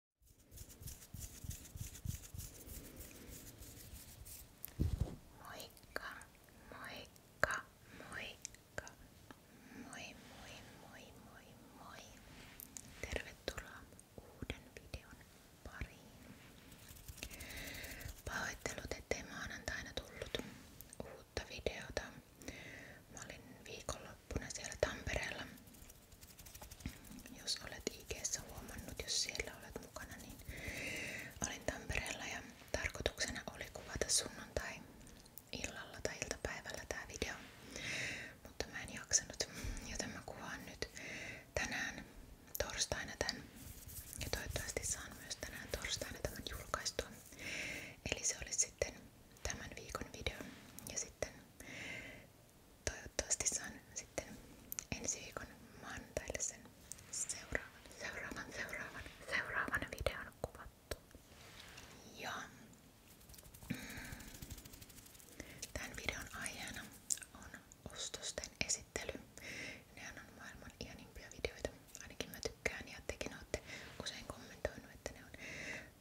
Moikka, moikka, moikka. Moi, moi, moi, moi, moi. Tervetuloa uuden videon pariin. Pahoittelut, ettei maanantaina tullut uutta videota. Mä olin viikonloppuna siellä Tampereella jos olet IG:ssä huomannut, jos siellä olet mukana, niin olin Tampereella ja tarkoituksena oli kuvata sunnuntai illalla tai iltapäivällä tää video, mutta mä en jaksanut, joten mä kuvaan nyt tänään torstaina tän ja toivottavasti saan myös tänään torstaina tämän julkaistua. Eli se oli sitten tämän viikon video ja sitten toivottavasti saan sitten ensi viikon maanantaille sen seuraavan, seuraavan, seuraavan, seuraavan videon kuvattua. Ja mm, tämän videon aiheena on ostosten esittely. Ne on maailman ihanimpia videoita. Ainakin mä tykkään ja tekin olette usein kommentoinut, että ne on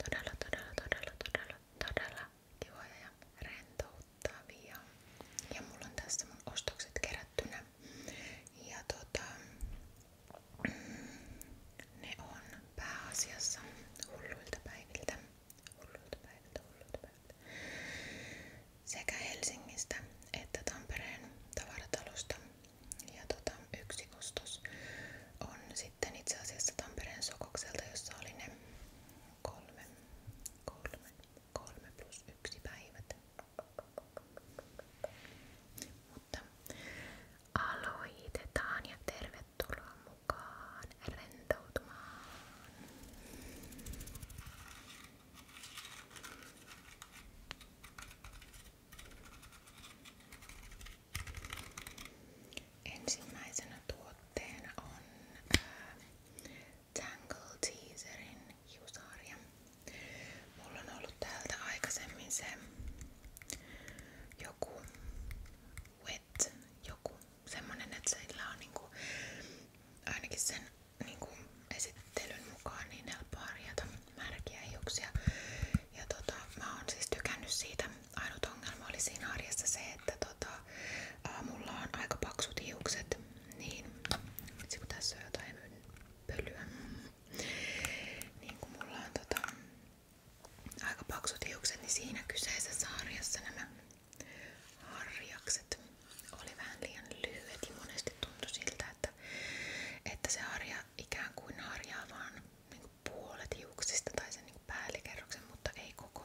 todella, todella, todella, todella, todella kivoja ja rentouttavia. Ja mulla on tässä mun ostokset kerättynä. Ja tota, mm, ne on pääasiassa hulluilta päiviltä. Hulluilta päiviltä, hulluilta päiviltä. Sekä Helsingistä että Tampereen tavaratalosta. Ja tota, yksi ostos on sitten itse asiassa Tampereen Sokokselta, jossa oli ne kolme, kolme, kolme plus yksi päivät. Mutta aloitetaan ja tervetuloa mukaan rentoutumaan. Ensimmäisenä tuotteena on äh, Tangle Teaserin hiusarja. Mulla ollut täältä aikaisemmin se joku wet, joku semmonen, että sillä on niinku, ainakin sen niinku, esittelyn mukaan niin helppo harjata märkiä hiuksia. Ja tota, mä oon siis siitä ainut ongelma oli siinä arjessa se, että tota, ää, mulla on aika paksut hiukset, niin kun tässä on jotain pölyä, niin kun mulla on tota, aika paksut hiukset, niin siinä kyseisessä sarjassa nämä harjakset oli vähän liian lyhyet ja monesti tuntui siltä, että, että se harja ikään kuin harjaa vaan niin niinku puolet hiuksista tai sen niinku päällikerroksen, mutta ei koko,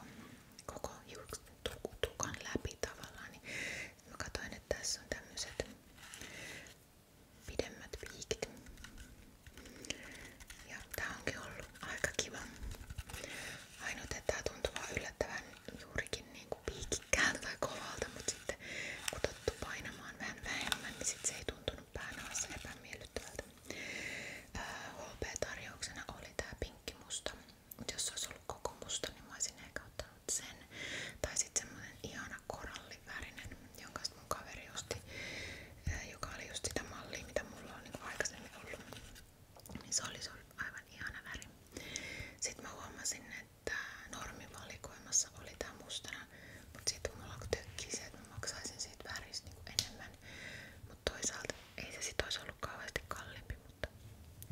koko hiuks, tuk, tukan läpi tavallaan. Niin mä katsoin, että tässä on tämmöiset pidemmät viikit. Ja tää onkin ollut aika kiva. Ainoa, että tää tuntuu vaan yllättävän juurikin niinku piikikkäältä tai kovalta, mutta sitten kun tottu painamaan vähän vähemmän, niin sit se ei tuntunut päänaassa epämiellyttävältä. HP-tarjouksena oli tää pinkkimusta. Jos se olisi ollut koko musta, niin mä olisin Tai sitten semmonen ihana jonka mun kaveri osti, joka oli just sitä mitä mulla on niin aikaisemmin ollut. Niin se oli, se aivan ihana väri. Sitten mä että normivalikoimassa oli tää mustana, mutta sitten mulla tökkii se, että mä maksaisin siitä väristä niin enemmän. Mutta toisaalta ei se sit ois ollut kauheasti kalliimpi, mutta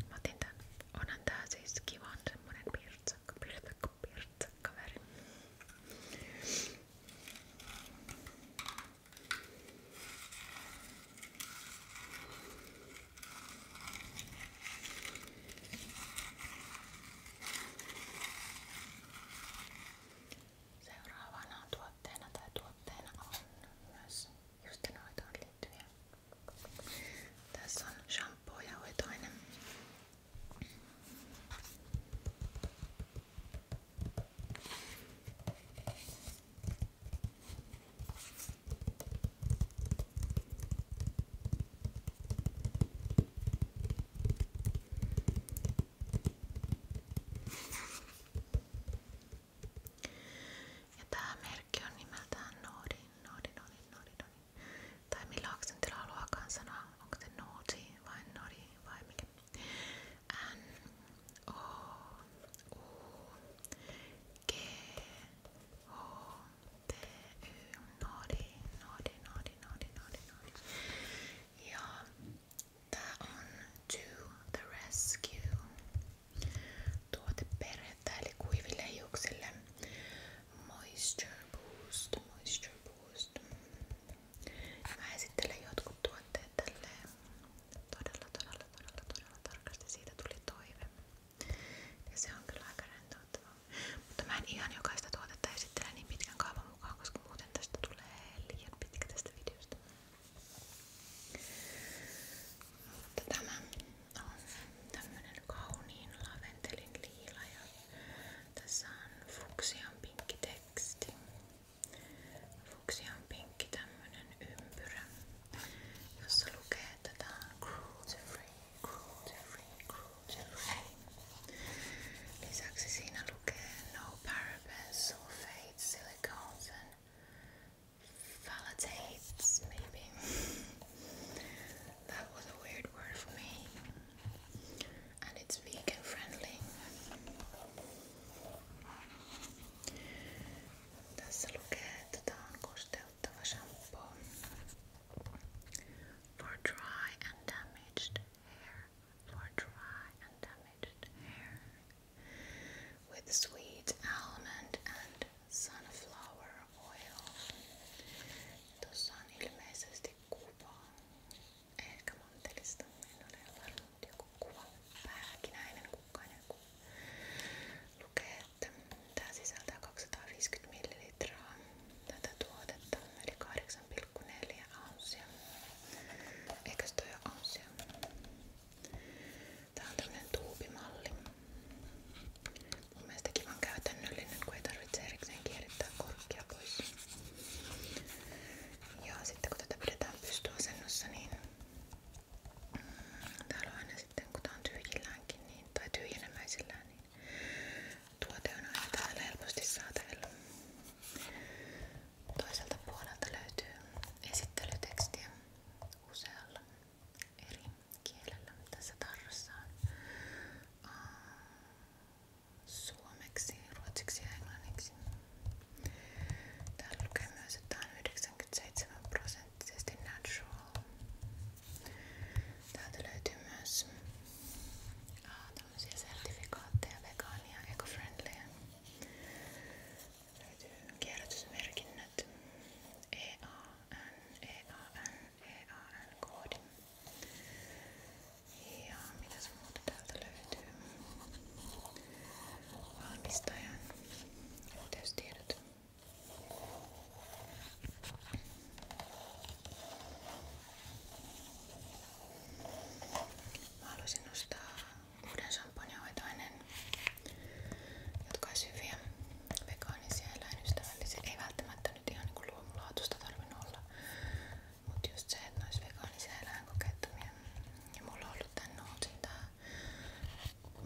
mä otin tän. Onhan tää siis kivan semmonen pirtsakka, pirtsakka, pirtsakka väri. Seuraavana tuotteena tai tuotteena on myös justenhoitoon liittyviä. Tässä on shampoo ja hoitoinen. Ja tää merkki on nimeltään Nodi, Nodi, Nodi, Nodi, Nodi. Tai millä aksentilla haluaakaan sanoa, onko se Nodi vai Nodi vai mikä. N, O, U, G, H, T, Y, Nodi, Nodi, Nodi, Nodi, Nodi, Nodi. Ja Tää on To The Rescue tuote perhettä eli kuiville hiuksille Moisture Boost, Moisture Boost. Mä esittelen jotkut tuotteet tälleen todella, todella, todella, todella tarkasti. Siitä tuli toive. Ja se on kyllä aika rentouttavaa. Mutta mä en ihan jokaista tuotetta esittele niin pitkän kaavan mukaan, koska muuten tästä tulee liian pitkä tästä videosta. Mutta tämä on tämmönen kauniin laventelin liila ja tässä on fuksian pinkki teksti. Fuksian pinkki tämmönen ympyrä, jossa lukee, että tää on cruelty free, cruelty free, cruelty free. Lisäksi siinä lukee no parabens, sulfates, silicones Valetates, maybe. that was a weird word for me. And it's vegan friendly. Tässä lukee, että tämä on kosteuttava shampoo for dry and damaged hair. for dry and damaged hair with sweet almond and sunflower oil. Tuossa on ilmeisesti kuva. Ehkä mantelista. En ole varma, mutta joku kuva. Pähkinäinen kukkainen kuva. Lukee, että tää sisältää 250 ml tätä tuotetta, eli 8,4 ounsia. Eikös toi ole ounsia? Tää on tämmönen tuubimalli. Mun mielestä kivan käytännöllinen, kun ei tarvitse erikseen kierrittää korkkia pois. Ja sitten kun tätä pidetään pystyasennossa, niin mm, täällä on aina sitten, kun tää on tyhjilläänkin niin, tai tyhjenemäisillään, niin tuote on aina täällä helposti saatavilla. Toiselta puolelta löytyy esittelytekstiä usealla eri kielellä tässä tarrassa on suomeksi, ruotsiksi ja englanniksi. Täällä lukee myös, että tämä on 97 prosenttisesti natural. Täältä löytyy myös tämmöisiä sertifikaatteja, vegaania, eco-friendlyä löytyy kierrätysmerkinnät, EAN, EAN, EAN-koodi. Ja mitäs muuta täältä löytyy? Valmistajan yhteystiedot. Mä haluaisin ostaa uuden champagnehoitoaineen, jotka olisi hyviä, vegaanisia, eläinystävällisiä. Ei välttämättä nyt ihan niin luomulaatusta tarvinnut olla, mutta just se, että ne olisi vegaanisia eläinkokeettomia. Ja mulla on ollut tän Nootsin tää,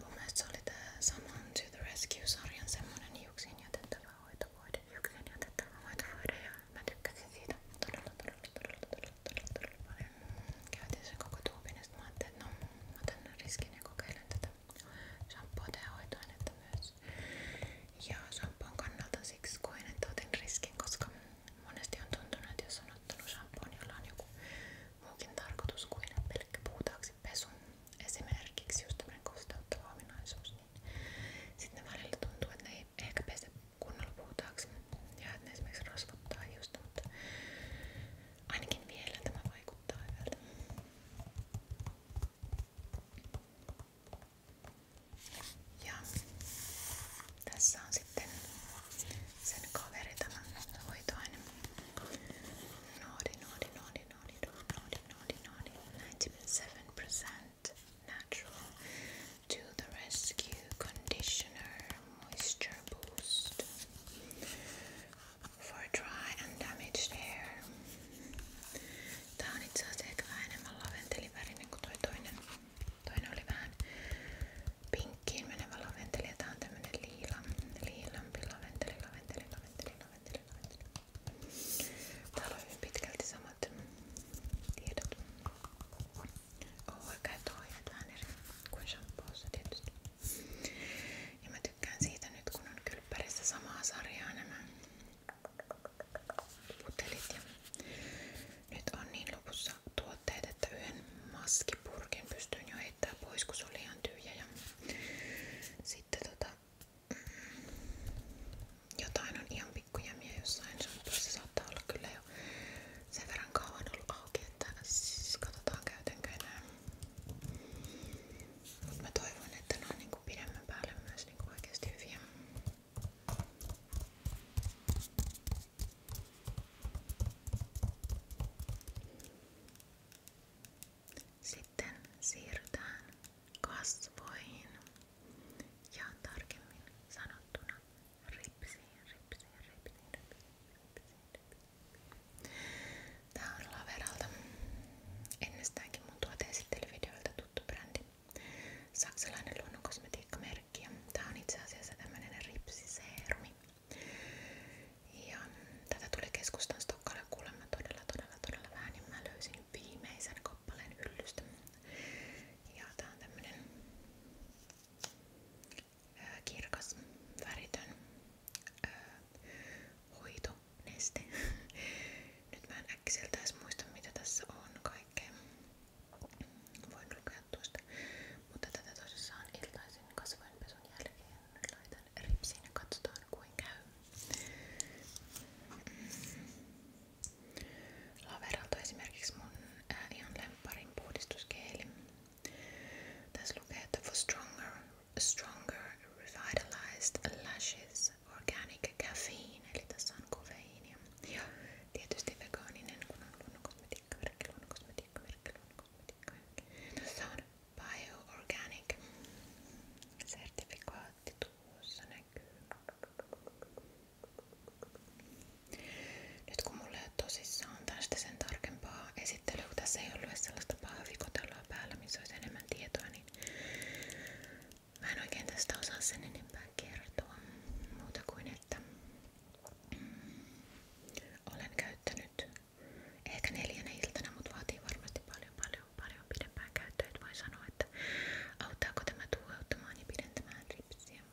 mun mielestä se oli tää Saman to the Rescue-sarjan semmonen hiuksiin jätettävä hoitovoide, hiuksiin jätettävä hoitovoide ja mä tykkäsin siitä todella todella todella todella Käytin sen koko tuubin ja sitten mä ajattelin, että no mä otan riskin ja kokeilen tätä shampoota ja hoitoainetta myös. Ja shampoon kannalta siksi koen, että otin riskin, koska monesti on tuntunut, että jos on ottanut shampoon, niin jolla on joku muukin tarkoitus kuin pelkkä puutaaksi pesu, esimerkiksi just tämmöinen kosteuttava ominaisuus, niin sitten välillä tuntuu, että ne ei ehkä pese kunnolla puhtaaksi ja että ne esimerkiksi rasvattaa hiusta, mutta ainakin vielä tämä vaikuttaa hyvältä. Ja tässä on sitten sen kaveri tämä hoitoaine. Noodi, noodi, noodi, noodi, noodi, noodi, noodi, noodi. 97% natural. to the rescue conditioner moisture boost for dry and damaged hair. Tää on itse asiassa ehkä vähän kuin toi toinen. Toinen oli vähän pinkkiin menevä laventeli ja tää on tämmönen liila, liilampi laventeli, laventeli, laventeli, laventeli, laventeli. Täällä on Oh, on oikeat ohjeet vähän eri kuin shampoossa tietysti. Ja mä tykkään siitä nyt kun on kylppärissä samaa sarjaa nämä putelit ja nyt on niin lopussa tuotteet, että yhden maskipurkin pystyn jo heittää pois kun se oli ihan tyhjä ja sitten tota mm, jotain on ihan pikkujämiä jossain, se saattaa olla kyllä jo sen verran kauan ollut auki, että siis katsotaan käytänkö enää. Mut mä toivon, että ne on niinku pidemmän päälle myös niinku oikeesti hyviä. Sitten siirrytään kasvoihin ja tarkemmin sanottuna Ripsiin, ripsiin, ripsiin, ripsiin, ripsiin, ripsiin. Tää on Laveralta. Ennestäänkin mun tuoteesittelyvideoilta tuttu brändi. Saksalainen luonnonkosmetiikkamerkki. Ja tää on itse asiassa tämmönen ripsiseerumi. Ja tätä tuli keskustan Stokkalle kuulemma todella, todella, todella vähän. Niin mä löysin viimeisen koppaleen hyllystä. Ja tää on tämmönen kirkas, väritön hoitoneste. Nyt mä en äkkiseltä edes muista mitä tässä on kaikkea. Voin lukea tuosta. Mutta tätä tosissaan iltaisin kasvoinpesun jälkeen laitan ripsiin ja katsotaan kuin käy. Mm. Laveralta esimerkiksi mun ää, ihan lempparin puhdistuskeeli. Tässä lukee, että for stronger, stronger revitalized lashes organic caffeine, eli tässä on kofeiinia. Ja tietysti vegaaninen, kun on luonnonkosmetiikkaverkki, luonnonkosmetiikkaverkki, luonnonkosmetiikkaverkki. Tässä on bioorganic sertifikaatti tuossa näkyy. Nyt kun mulla ei ole tosissaan tästä sen tarkempaa esittelyä, kun tässä ei ollut sellaista pahvikotellaa päällä, missä olisi enemmän tietoa, niin mä en oikein tästä osaa sen enempää kertoa muuta kuin, että mm, olen käyttänyt ehkä neljänä iltana, mutta vaatii varmasti paljon, paljon, paljon pidempään käyttöä. Et voi sanoa, että auttaako tämä tuuheuttamaan ja pidentämään ripsiä,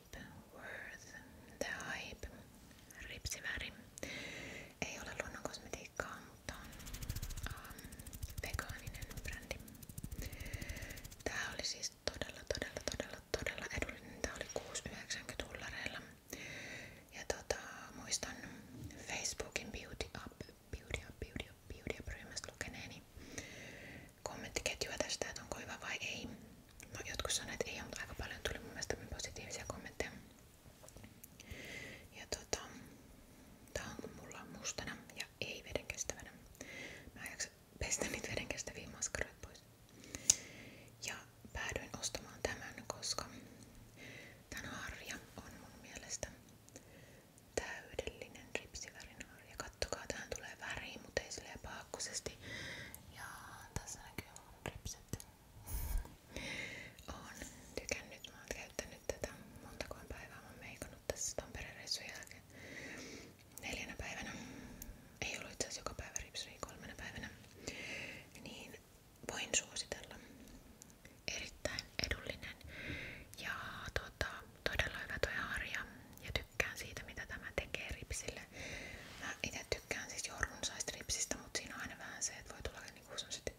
Shape Worth The Hype ripsiväri. Ei ole luonnonkosmetiikkaa, mutta on um, ähm, vegaaninen brändi. Tää oli siis todella, todella, todella, todella edullinen. Tää oli 6,90 dollareilla. Ja tota, muistan Facebookin Beauty Up, Beauty Up, Beauty Up, Beauty Up ryhmästä lukeneeni kommenttiketjua tästä, että onko hyvä vai ei. No jotkut sanoivat, että ei, mutta aika paljon tuli mun mielestä positiivisia kommentteja. Ja tota, tää on mulla mustana ja ei vedenkestävänä. Mä en jaksa pestä niitä vedenkestäviä maskaroita pois. Ja päädyin ostamaan tämän, koska tämän harja on mun mielestä täydellinen ripsivärin harja. Kattokaa, tähän tulee väri, mutta ei silleen paakkosesti. Ja tässä näkyy mun ripset. Oon tykännyt, mä oon käyttänyt tätä montakoon päivää, mä oon meikannut tässä Tampereen reissun jälkeen neljänä päivänä, ei ollut itse joka päivä ripsuri, niin kolmena päivänä, niin voin suositella. Erittäin edullinen ja tota, todella hyvä toi harja ja tykkään siitä mitä tämä tekee ripsille. Mä itse tykkään siis jo runsaista mutta siinä on aina vähän se, että voi tulla niinku sellaiset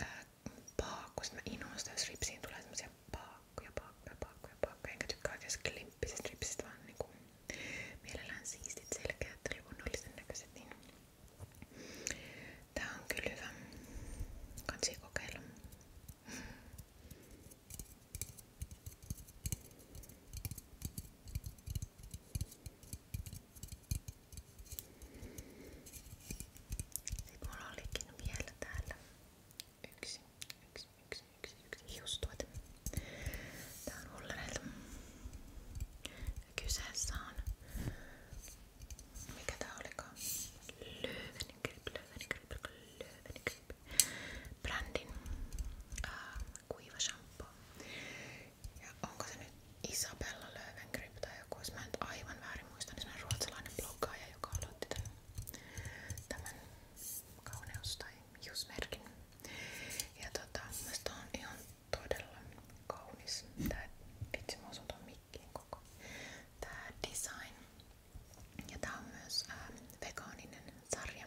ää, paakku. Sitten mä innoin sitä, jos ripsiin tulee semmosia paakkuja, paakkuja, paakkuja, paakkuja. Enkä tykkää oikeastaan limppisistä ripsistä, vaan niinku mielellään siistit, selkeät, luonnollisen näköiset. Niin. Tää on kyllä hyvä. Kansi kokeilla. Sitten mulla olikin vielä täällä yksi, yksi, yksi, yksi, yksi hiustuote. Tää on Ullerelta. Kyseessä on, mikä tää olikaan? Löwengrip, Löwengrip, Löwengrip. Brändin äh, kuiva shampoo. Ja onko se nyt Isabella Löwengrip tai joku, jos mä nyt aivan väärin muistan, niin se on ruotsalainen bloggaaja, joka aloitti tämän, tämän kauneus- tai hiusmerkin. Ja tota, musta on ihan todella kaunis. Tää, itse mä osun ton mikkiin koko. Tää design. Ja tää on myös ää, vegaaninen sarja.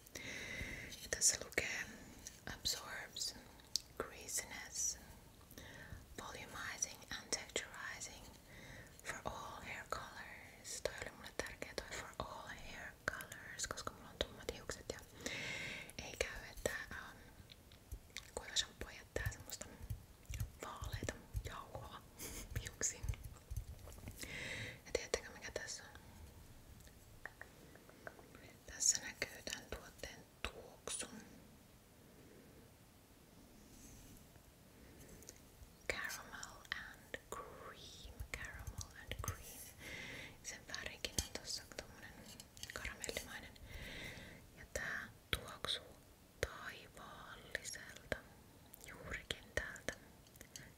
Ja tässä lukee absorbs greasiness, volumizing and texturizing for all hair colors. Toi oli mulle tärkeä toi for all hair colors, koska mulla on tummat hiukset ja ei käy, että um, kuiva shampoo jättää semmoista vaaleita jauhoa hiuksiin. Ja tiedättekö mikä tässä on? Tässä näkyy tämän tuotteen tuoksu. Caramel and cream. Caramel and cream. Sen värikin on tossa tommonen karamellimainen. Ja tää tuoksuu taivaalliselta juurikin täältä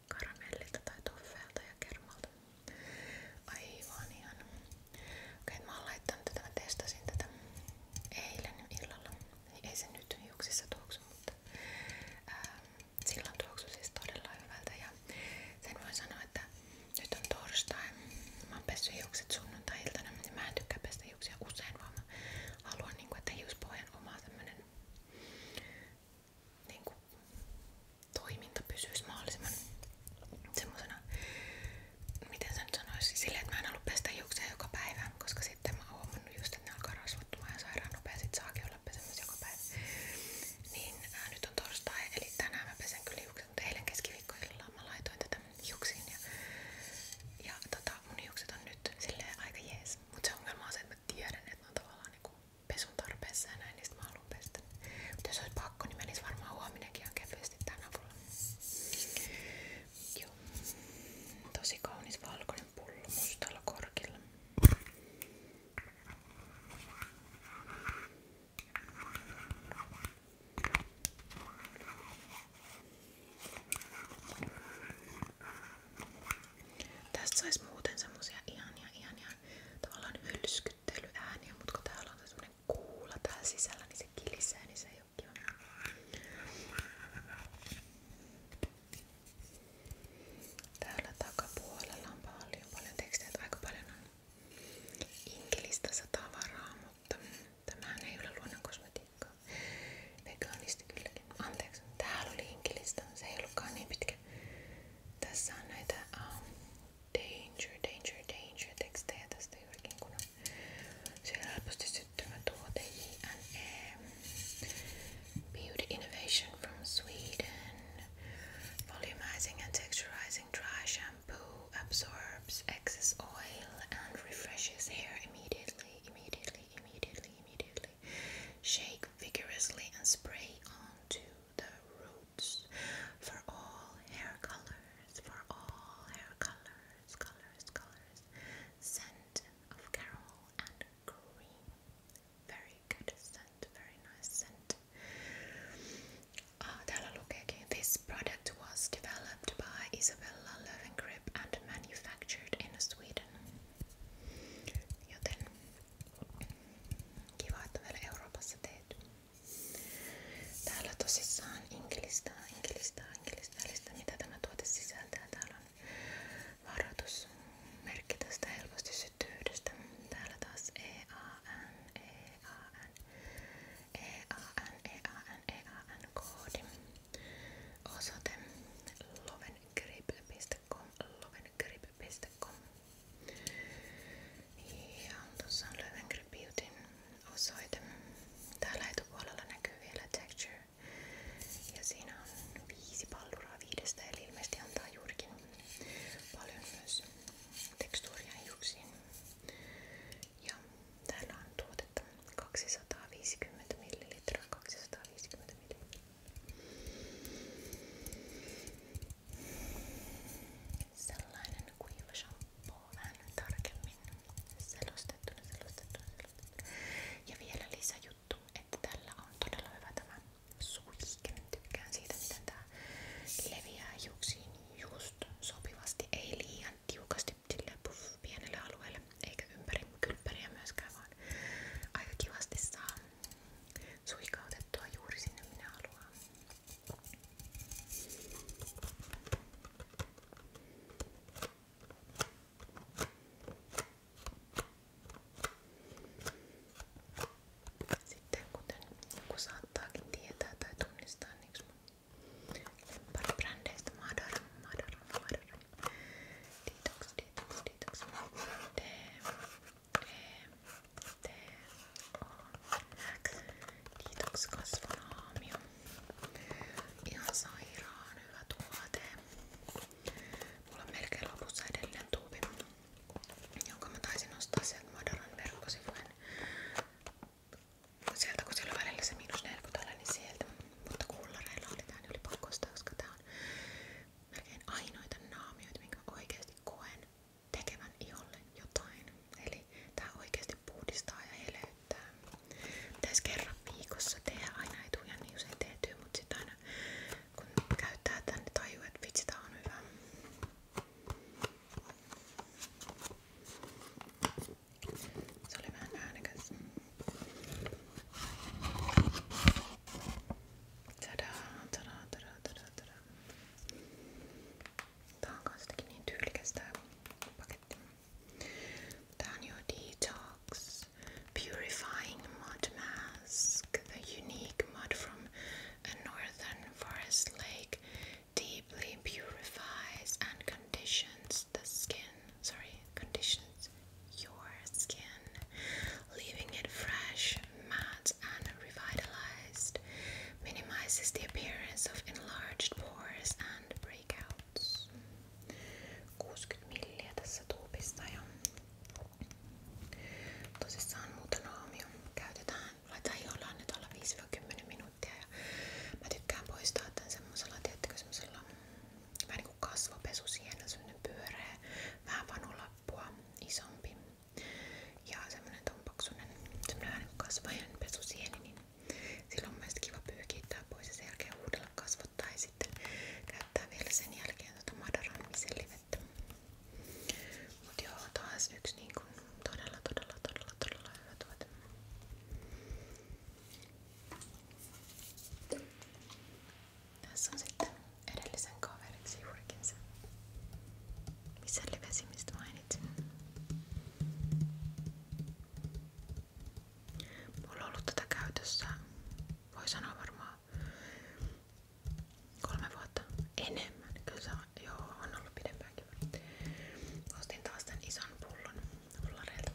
karamellilta tai toffeelta ja kermalta. Aivan ihan. Okei, mä oon laittanut tätä, mä testasin tätä eilen illalla. Ei se nyt hiuksissa tuoksu, mutta ää, silloin tuoksu siis todella hyvältä. Ja sen voin sanoa, että nyt on torstai. Mä oon pessy hiukset sunnuntai-iltana. Niin mä en tykkää pestä hiuksia usein, vaan mä haluan, niin kuin, että hiuspohjan omaa tämmönen niin kuin, toiminta pysyisi mahdollisimman semmosena, miten sen sanoisi, silleen, että mä en halua pestä hiuksia joka päivä, koska sitten mä oon huomannut just, että ne alkaa rasvattumaan ja sairaan nopea, sit saakin olla pesemässä joka päivä. Niin ää, nyt on torstai, eli tänään mä pesen kyllä hiukset, mutta eilen keskiviikkoillalla mä laitoin tätä hiuksiin ja, ja tota, mun hiukset on nyt silleen aika jees. Mutta se ongelma on se, että mä tiedän, että ne on tavallaan niinku pesun tarpeessa ja näin, niistä mä haluan pestä. Mutta jos olisi pakko, niin menis varmaan huominenkin ihan kevyesti tämän avulla. Joo. Tosi kaunis valkoinen pullo mustalla korkilla. Tästä sais muuten semmosia ihania, ihania tavallaan hylskyttelyääniä, mutta kun täällä on semmonen kuula täällä sisällä, niin se kilisee, niin se ei oo kiva. Täällä takapuolella on paljon, paljon tekstejä, aika paljon on inkelistä tavaraa, mutta tämähän ei ole luonnon kosmetiikkaa. Vegaanisti kylläkin. Anteeksi, täällä oli inkelistä, se ei ollutkaan niin pitkä like the sunlight, the um, danger, danger, danger textedä tästä juurikin kun siellä helposti syttyvä tuote H&M Beauty Innovation from Sweden Volumizing and texturizing dry shampoo absorbs excess oil and refreshes hair immediately, immediately, immediately, immediately Shea vigorously and spray onto the roots for all hair colors, for all hair colors, colors, colors. Scent of carol and cream. Very good scent, very nice scent. Uh, ah, Dalalukeki. This product was developed by Isabella Löwengrip and manufactured in Sweden. Joten Kiva, että on vielä Euroopassa tehty. Täällä tosissaan inkilistä, inkilistä, inkilistä, mitä tämä tuote sisältää. Täällä on varoitusmerkki tästä helposti syttyydestä. Täällä taas EAN, EAN, EAN, EAN, EAN koodi. Osoite lovengrip.com, lovengrip www.beautybabe.com Ja tuossa on Löwenkry Beautyn osoite. Täällä etupuolella näkyy vielä texture. Ja siinä on viisi palluraa viidestä, eli ilmeisesti antaa juurikin paljon myös tekstuuria hiuksiin. Ja täällä on tuotetta 250 ml, 250 ml. Sellainen kuiva shampoo, vähän tarkemmin selostettuna, selostettuna, selostettuna. Ja vielä lisäjuttu, että tällä on todella hyvä tämä suihke. Tykkään siitä, miten tää leviää hiuksiin just sopivasti, ei liian tiukasti puff, pienelle alueelle, eikä ympäri kylppäriä myöskään, vaan aika kivasti saa suikautettua juuri sinne minä haluan. Sitten kuten joku saattaakin tietää tai tunnistaa, niin mun lemparibrändeistä Madara, Madara, Madara Detox, detox, detox. D, E, D, O, Detox kasvolaamio. Ihan sairaan hyvä tuote. Mulla on melkein lopussa edelleen tuubi, jonka mä taisin ostaa sieltä Madoran verkkosivujen. Sieltä kun siellä on välillä se miinus 40 niin sieltä. Mutta kuulareilla oli tää, niin oli pakko ostaa, koska tää on melkein ainoita naamioita, minkä oikeasti koen tekevän iholle jotain. Eli tää oikeasti puhdistaa ja eleyttää. Pitäis kerran viikossa tehdä aina etuja, niin usein tehtyy, mutta sit aina kun käyttää tän, niin tajuu, että vitsi tää on hyvä. Se oli vähän äänekäs. Ta-da, ta-da, ta-da, ta-da, ta-da. Taankastaki niin tyylikäs tää paketti. Tää on Detox Purifying Mud Mask. The unique mud from a northern forest lake deeply purifies and conditions the skin. Sorry, conditions your skin, leaving it fresh, matte, and revitalized, minimizes the appearance of enlarged pores and breakouts. 60 milliä tässä tuupista ja tosissaan muutama aamio käytetään, laitetaan iholle nyt olla 5-10 minuuttia mm, vähän niinku lappua isompi ja semmonen ton paksunen, semmonen vähän niin kasvajan pesusieni, niin silloin on myös kiva pyykittää pois ja sen jälkeen uudella kasvottaa ja sitten käyttää vielä sen jälkeen tota madaran miselivettä. Mut joo, taas yksi niin kun todella todella todella todella hyvä tuote tässä on sitten edellisen kaveriksi juurikin se, missä livesimistä mainitsin. Mulla on ollut tätä käytössä, voi sanoa varmaan kolme vuotta enemmän. Kyllä se on, joo, on ollut pidempäänkin. Ostin taas tän ison pullon fullareilta.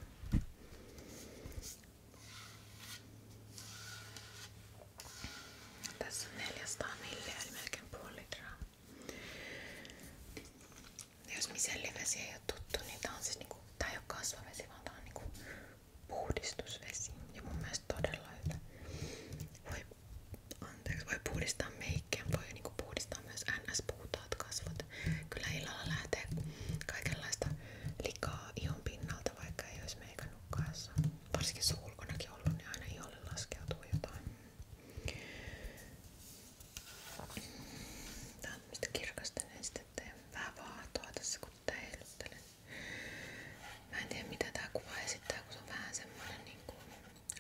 Tässä on 400 milliä, eli melkein puoli litraa. Jos misellivesi ei ole tuttu, niin tää on siis niinku, tää ei ole kasvavesi, vaan tää on niinku puhdistusvesi. Ja mun mielestä todella hyvä. Voi, anteeksi, voi puhdistaa meikkiä, voi niinku puhdistaa myös NS-puhtaat kasvot. Kyllä illalla lähtee kaikenlaista likaa ihon pinnalta, vaikka ei olisi meikannut porukkaassa. Varsinkin se ulkonakin ollut, niin aina iholle laskeutuu jotain. Tää on tämmöstä kirkasta nestettä ja vähän vaahtoa tässä kun tää heiluttelen. Mä en tiedä mitä tää kuva esittää, kun se on vähän semmonen niinku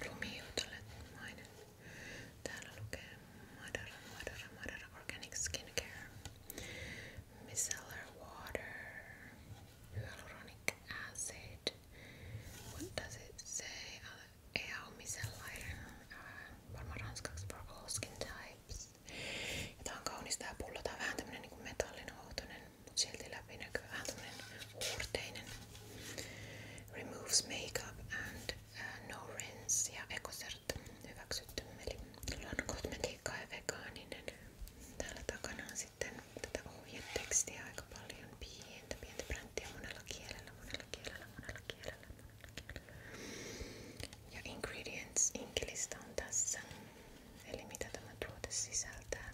lumijuutelemainen. Täällä lukee Madara Madara Madara Organic Skincare micellar water, hyaluronic acid. What does it say? EAU uh, micellair, uh, varmaan ranskaksi for all skin types. Ja tää on kaunis tää pullo, tää on vähän tämmönen niinku metallin outonen, mut silti läpinäkyvä, vähän tämmönen huurteinen. Removes makeup and uh, no rinse ja EcoCert hyväksytty. Eli luonnon kosmetiikka ja vegaaninen Täällä takana on sitten tätä ohjetekstiä aika paljon, pientä, pientä bränttiä monella kielellä, monella kielellä, monella kielellä, monella kielellä. Ja ingredients inkilista on tässä, eli mitä tämä tuote sisältää.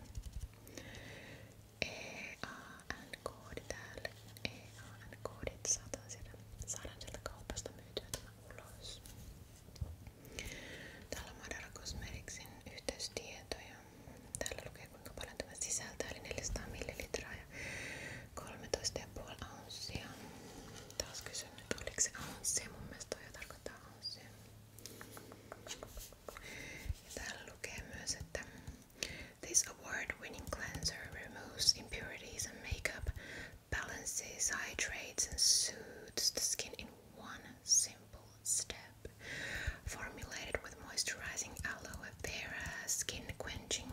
EAN-koodi täällä, EAN-koodit saadaan sieltä, saadaan sieltä kaupasta myytyä tämä ulos. Täällä on Madara Cosmeticsin yhteystietoja. Täällä lukee kuinka paljon tämä sisältää, eli 400 millilitraa ja 13,5 ounsia. Taas kysyn nyt, oliko se ounsia? Mun mielestä toi tarkoittaa ounsia. Ja täällä lukee myös, että This award-winning cleanser removes impurities and makeup balances, hydrates, and soothes the skin in one simple step. Formulated with moisturizing aloe vera, skin quenching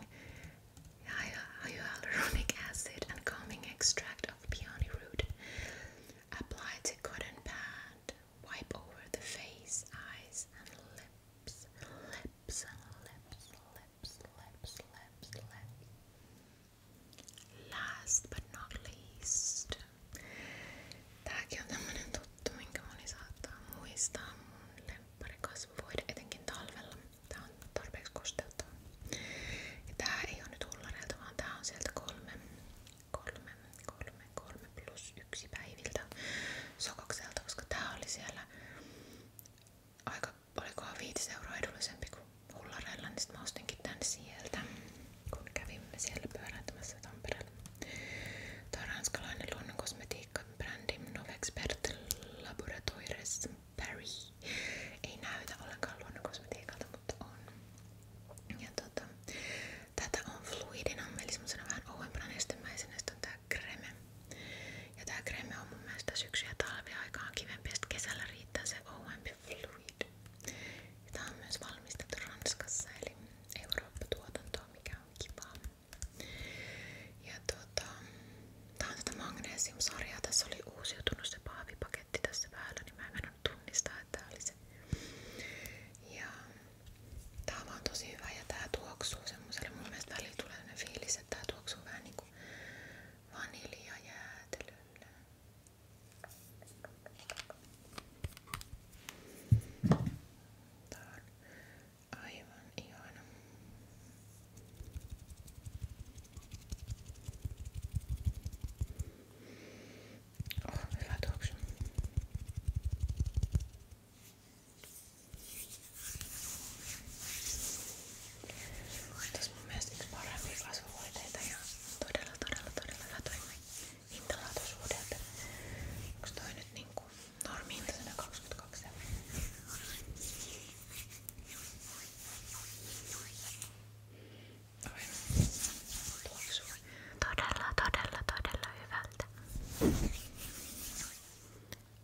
hyaluronic acid, and calming extract of peony root. Apply to cotton pad, wipe over the face, eyes, and lips, lips, lips, lips, lips, lips, lips. Last but not least. Tääkin on tämmönen tuttu, minkä moni saattaa muistaa. talvella. Tää on tarpeeksi kosteuttava. ei oo nyt hullareilta, vaan tää on sieltä kolme, kolme, kolme, kolme plus yksi päiviltä sokokselta, koska tää oli siellä aika, olikohan viisi euroa edullisempi kuin hullareilla, niin sit sieltä, kun kävimme siellä pyöräytämässä Tampereella. Tää on ranskalainen luonnonkosmetiikka-brändi Novexpert Laboratoires Paris. Ei näytä ollenkaan luonnonkosmetiikalta, mutta on. Ja tota, tätä on fluidina, eli semmosena vähän ouempana nestemäisenä. Sitten on kreme. Ja tää kreme on mun mielestä syksy- ja kivempi, kesällä riittää se ouempi fluidi. Tämä on myös valmistettu Ranskassa, eli Eurooppa-tuotantoa, mikä on kivaa. Ja tuota, tää on tätä magnesium-sarjaa. Tässä oli uusiutunut se paavipaketti tässä päällä, niin mä en mennä tunnistaa, että tää oli se. Ja tää on vaan tosi hyvä ja tää tuoksuu semmoselle. Mun mielestä välillä tulee fiilis, että tää tuoksuu vähän niinku vanilja jäätelölle. Tää on aivan ihana. Oh, hyvä tuoksu. Tässä mun mielestä yksi parempia kasvuhoiteita ja todella todella todella hyvä toi hintalaatuisuuden. Onko toi nyt niinku normiin 22? Oi, tuoksuu todella todella todella hyvältä.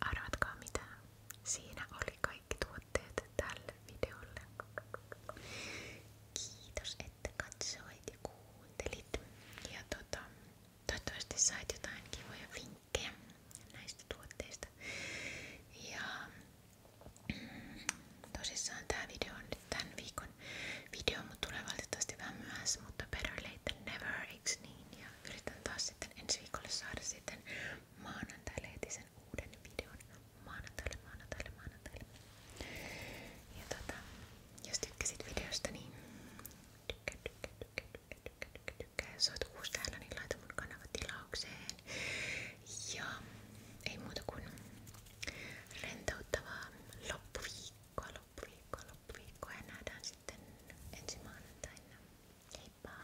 Arvatkaa mitä. Siinä oli kaikki tuotteet tälle videolle kiitos, että katsoit ja kuuntelit. Ja tota, toivottavasti sait jotain kivoja vinkkejä näistä tuotteista. Ja mm, tosissaan tää video on nyt tämän viikon video, mutta tulee valitettavasti vähän myöhässä, mutta better late than never, eiks niin? Ja yritän taas sitten ensi viikolle saada sitten maanantaille heti sen uuden videon maanantaille, maanantaille, maanantaille. Ja tota, jos tykkäsit videosta, niin tykkää, tykkää, tykkää, tykkää, tykkää, tykkää, tykkää. Jos oot uusi täällä, niin laita mun kanava tilaukseen. Ja ei muuta kuin rentouttavaa loppuviikkoa, loppuviikkoa, loppuviikkoa. Ja nähdään sitten ensi maanantaina. Heippa!